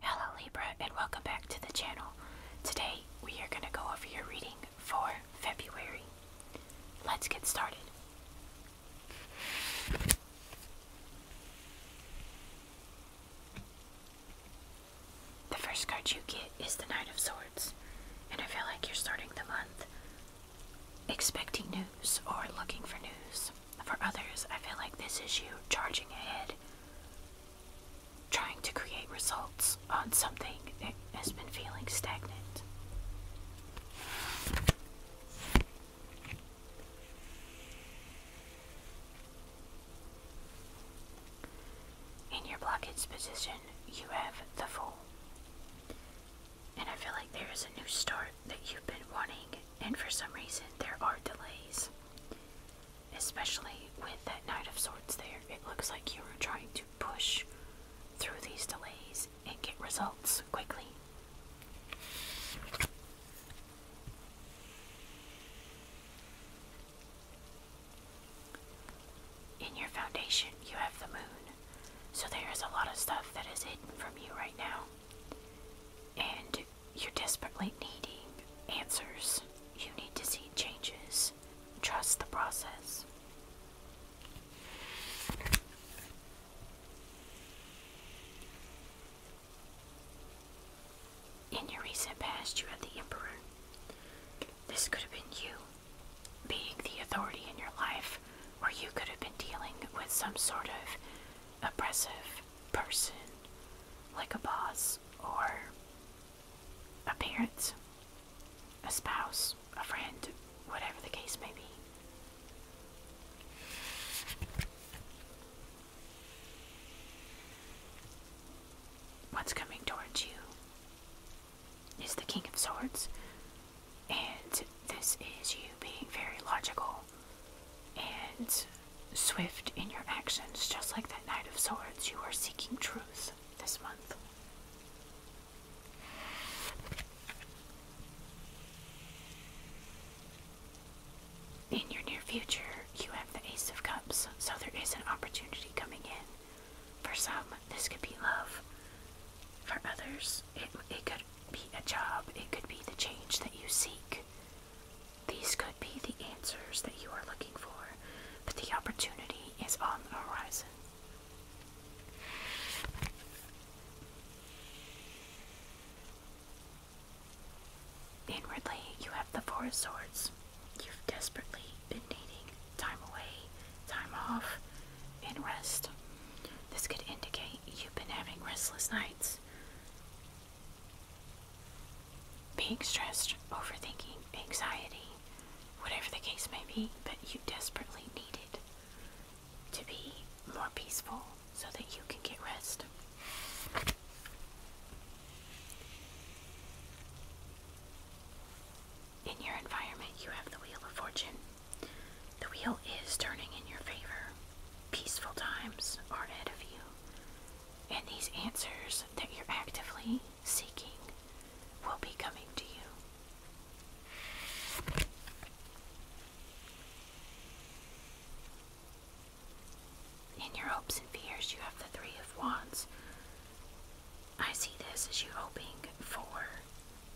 Hello Libra and welcome back to the channel. Today we are going to go over your reading for February. Let's get started. The first card you get is the Knight of Swords, and I feel like you're starting the month expecting news or looking for news. For others, I feel like this is you charging ahead, trying to create results on something that has been feeling stagnant. In your blockage position, you have the Fool. And I feel like there is a new start that you've been wanting, and for some reason, there are delays. Especially with that Knight of Swords there, it looks like you are trying to push through these delays and get results quickly. In your foundation, you have the moon, so there is a lot of stuff that is hidden from you right now. And you're desperately needing answers. You need to see changes. Trust the process. In your recent past, you had the Emperor. This could have been you, being the authority in your life, or you could have been dealing with some sort of oppressive person, like a boss or a parent, a spouse, a friend, whatever the case may be. What's coming towards you is the King of Swords, and this is you being very logical and swift in your actions, just like that Knight of Swords. You are seeking truth this month. In your near future, you have the Ace of Cups, so there is an opportunity coming in. For some, this could be love. For others, it, it could be a job, it could be the change that you seek. These could be the answers that you are looking for, but the opportunity is on the horizon. Inwardly, you have the Four Swords. You've desperately been needing time away, time off, and rest. This could indicate you've been having restless nights, being stressed, overthinking, anxiety, whatever the case may be, but you desperately need it to be more peaceful, so that you can get rest. In your environment, you have the Wheel of Fortune. The wheel is turning in your favor. Peaceful times are ahead of you, and these answers that you're actively seeking will be coming to you. In your hopes and fears, you have the Three of Wands. I see this as you hoping for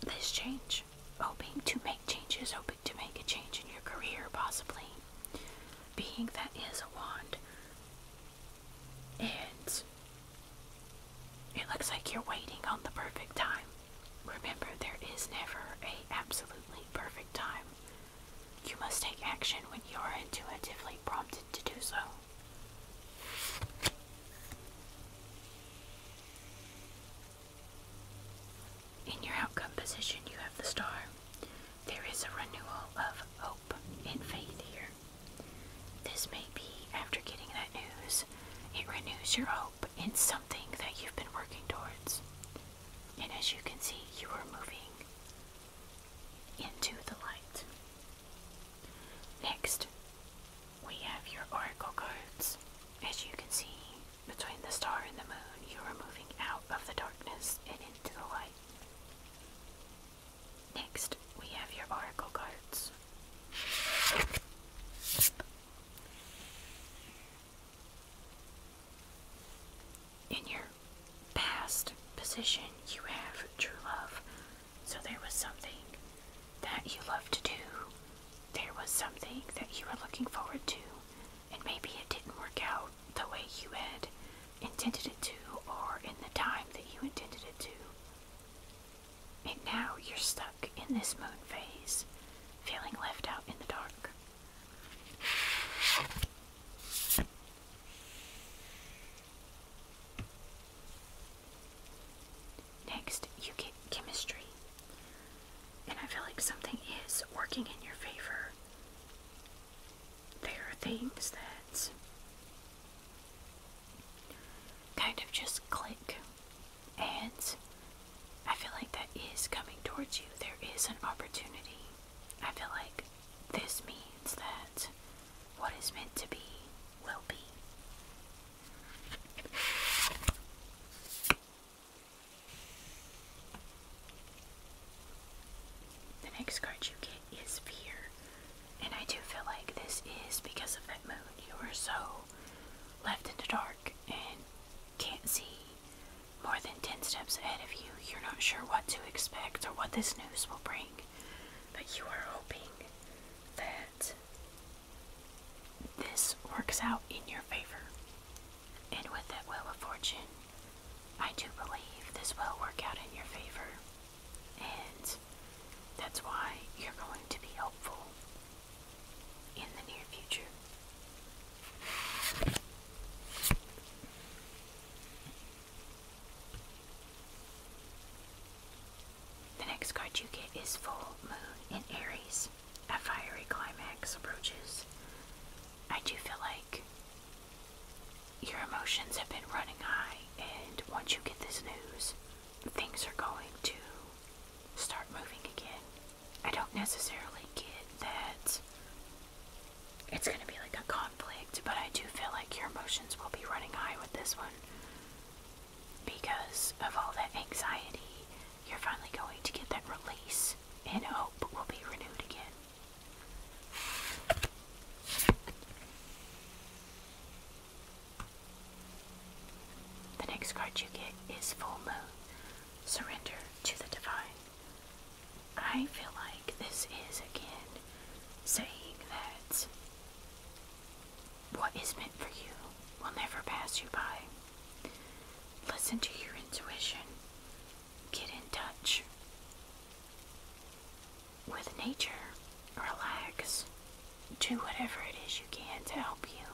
this change, hoping to make changes, hoping to make a change in your career, possibly. Being that is a wand, and it looks like you're waiting on the perfect time. Remember, there is never a absolutely perfect time. You must take action when you are intuitively prompted to do so. In your outcome position, you have the star. There is a renewal of hope and faith here. This may be after getting that news, it renews your hope in something that you've been working towards. And as you can see, you are moving into the light. Next, we have your oracle cards. As you can see, between the star and the moon, you are moving out of the darkness and into the light. Next, we have your oracle cards. In your past position, you have true love. So there was something that you loved to do, there was something that you were looking forward to, and maybe it didn't work out the way you had intended it to or in the time that you intended it to. And now you're stuck in this moon phase, feeling left out in the dark. Next, you get chemistry. And I feel like something is working in your favor. There are things that kind of just click and I feel like that is coming towards you. There is an opportunity. I feel like this means that what is meant to be will be. The next card you get is fear. And I do feel like this is because of that moon. You are so left in the dark and can't see more than 10 steps ahead of you, you're not sure what to expect or what this news will bring, but you are hoping that this works out in your favor. And with that will of Fortune, I do believe this will work out in your favor. And that's why you're going to be hopeful in the near future. The next card you get is Full Moon in Aries. A fiery climax approaches. I do feel like your emotions have been running high, and once you get this news, things are going to start moving again. I don't necessarily get that it's going to be like a conflict, but I do feel like your emotions will be running high with this one because of all that anxiety. You're finally going to get that release, and hope will be renewed again. The next card you get is Full Moon surrender to the divine. I feel like this is again saying that what is meant for you will never pass you by. Listen to your intuition, get in touch with nature, relax, do whatever it is you can to help you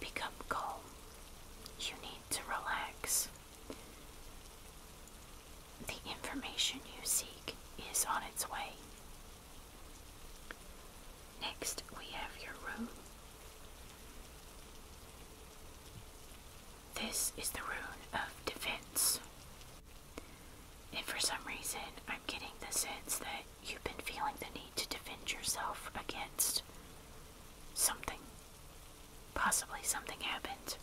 Become calm. You need to relax. The information you seek is on its way. Next, we have your room. This is the rune of defense. And for some reason, I'm getting the sense that you've been feeling the need to defend yourself against something. Possibly something happened.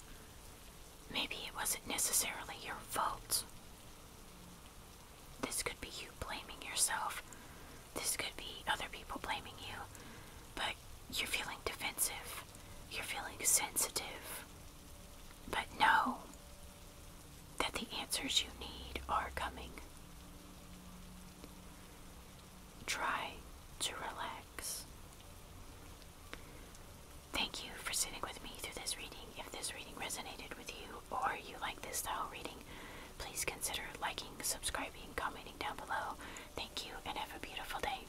Maybe it wasn't necessarily your fault. This could be you blaming yourself. This could be other people blaming you. But you're feeling defensive. You're feeling sensitive. But no, that the answers you need are coming. Try to relax. Thank you for sitting with me through this reading. If this reading resonated with you or you like this style reading, please consider liking, subscribing, commenting down below. Thank you and have a beautiful day.